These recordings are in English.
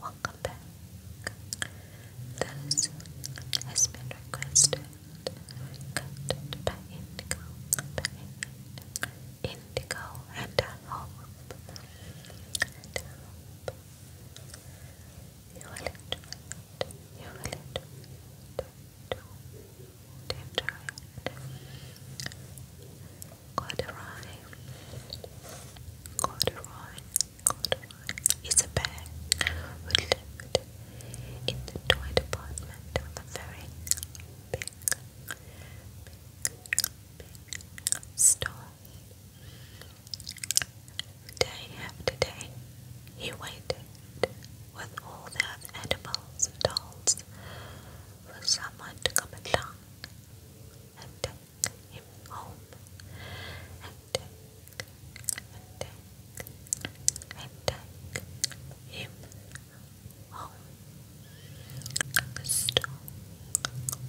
Welcome This has been requested. by Indigo, Indigo, and hope, you will enjoy it. You will Enjoy it corduroy, corduroy, corduroy is a bear who lived in the toy department of a very big, big, big store. Day after day, he waited with all their edibles and dolls for someone to come along and him home and take and take home. The stone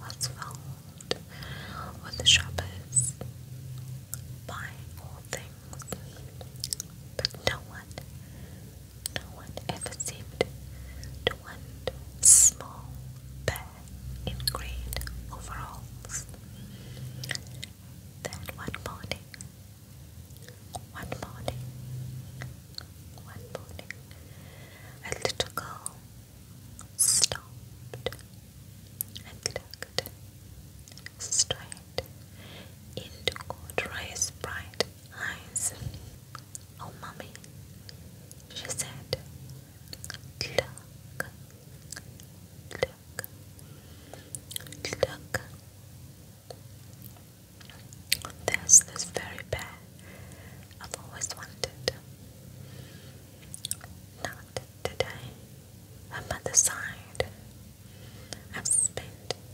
was filled with shoppers buying all things, but no one, no one ever seemed to want small back in green overalls. Then one morning, one morning, one morning, a little girl stopped and looked straight into Corduroy's bright eyes. Oh, Mummy, she said. Look, look, look. There's this very bear I've always wanted. Not today, I'm at I've spent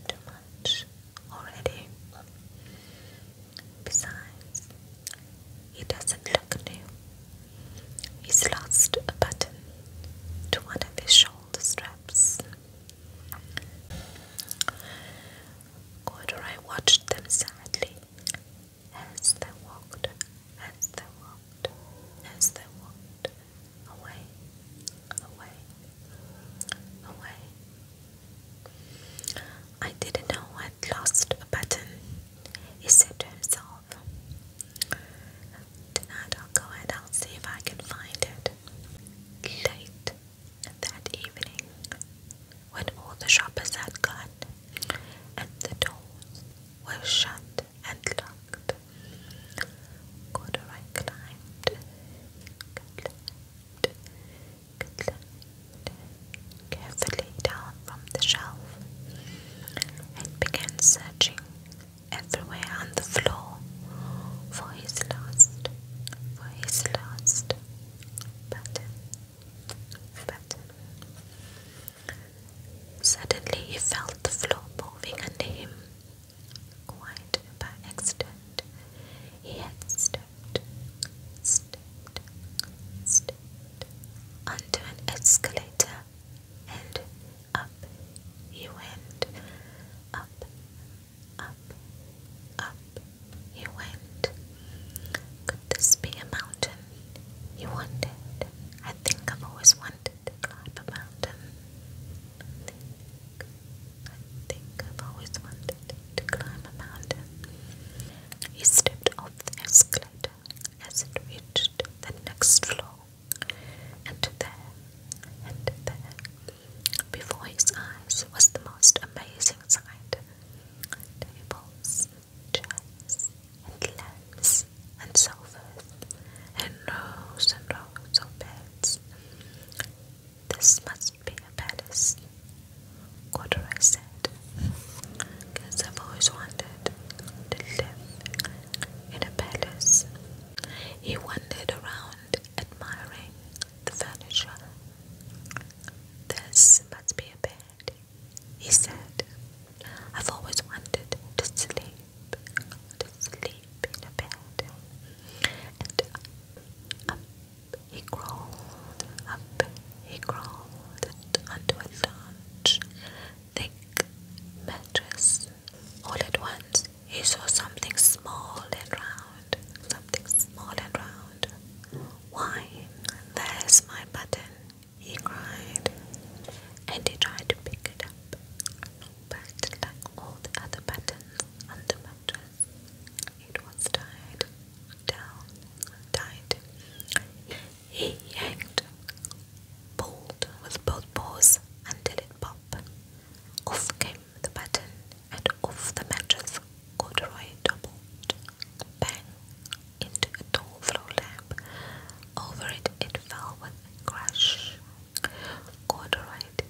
too much already. Besides, he doesn't look new. He's lost a button to one of his shoulder straps. Corduroy watched them sadly as they walked, as they walked, as they walked away, away, away, I didn't know I'd lost a button, he said to himself. Tonight I'll go and I'll see if I can find it. Late that evening, when all the shoppers had gone and the doors were shut and locked, Corduroy climbed, carefully down from the shelf and began searching everywhere on the floor for his last, for his last button, button. Suddenly he felt the floor moving under him. Quite by accident, he had stood stepped, an escalator and up you went. Up, up, up he went. Could this be a mountain? You wondered. I think I've always wanted to climb a mountain. I think I've always wanted to climb a mountain. He stepped off the escalator as it reached the next floor, and there, and there, before his eyes was the most amazing sight. Tables, chairs, and lamps, and sofas, and rows and rows of beds. This must be a palace. Corduroy said. Because I've always wanted to live in a palace. He wandered around admiring the furniture. This must be a bed, he said. I've always wanted to sleep, to sleep in a bed. And up, up he crawled, up he crawled onto a large, thick mattress. All at once he saw something small and round, something small and round. Why, there's my button, he cried. And he tried to pick it up but like all the other buttons on the mattress, it was tied down tight. He yanked, pulled with both paws until it popped. Off came the button, and off the mattress corduroy doubled. Bang! Into a tall throw lamp. Over it, it fell with a crash. Corduroy did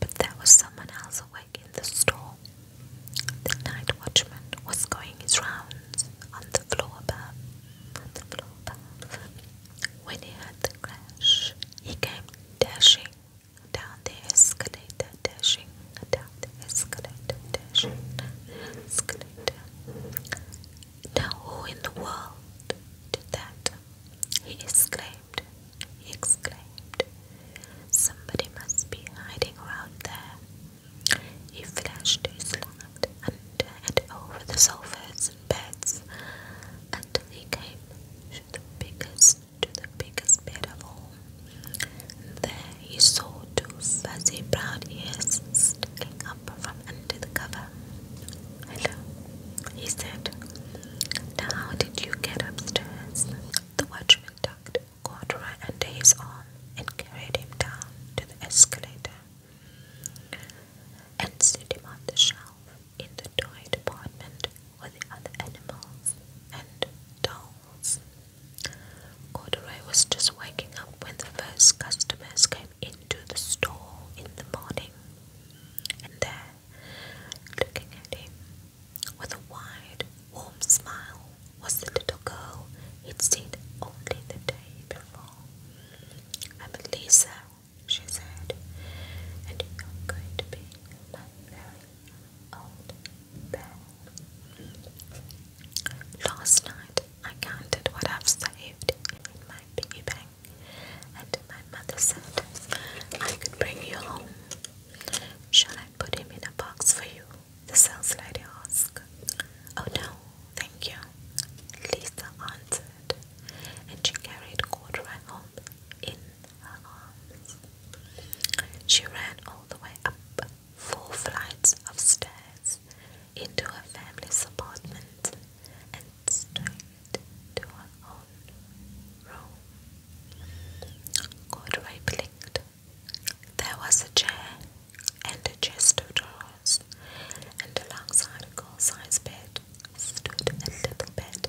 but there was someone else awake in the store. The night watchman was going his rounds on the floor above. When he heard the crash, he came dashing down the escalator, dashing down the escalator, dashing down the escalator. Now who in the world did that? he exclaimed. He exclaimed. Somebody must be hiding around there. He flashed his light under and over the sofas and beds until he came to the biggest, to the biggest bed of all. there he saw two fuzzy brown ears sticking up from under the cover. Hello, he said. Now, how did you get upstairs? The watchman tucked Corduroy under his arm and carried him down to the escalator and set him on the shelf in the toy department with the other animals and dolls. Corduroy was just waking up when the first customers came into the store in the morning, and there, looking at him with a wide, warm smile, was the little girl he'd seen only the day before. I'm Lisa, she said, and you're going to be my very old bell. Last night I counted what I've saved in my piggy bank crying. And my mother said, I could bring you home. Shall I put him in a box for you? The sales lady asked. Oh no, thank you, Lisa answered, and she carried Corduroy home in her arms. She ran all the way up four flights of stairs into a family's apartment and straight to her own room. Corduroy blinked. There was a chair and a chest of drawers, and alongside a girl size bed stood a little bed,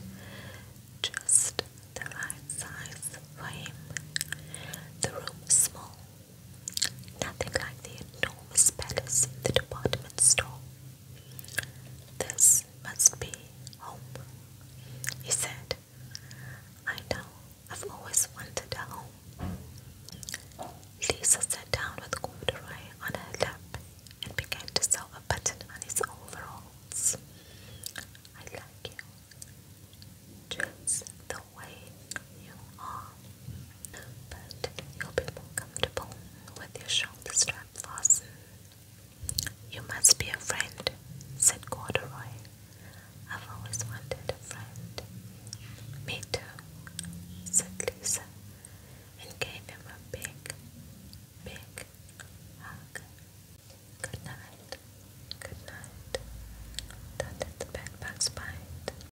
just the right size for him. The room was small Nothing like the enormous palace in the department store. This must be home, he said. I know, I've always wanted a home. Lisa sat down with corduroy on her lap and began to sew a button on his overalls. I like you, just the way you are, but you'll be more comfortable with your shoulder strap fastened. You must be a friend, said Corduroy. I've always wanted a friend. Me too, said Lisa, and gave him a big, big hug. Good night, good night, thundered the bedbug's bite.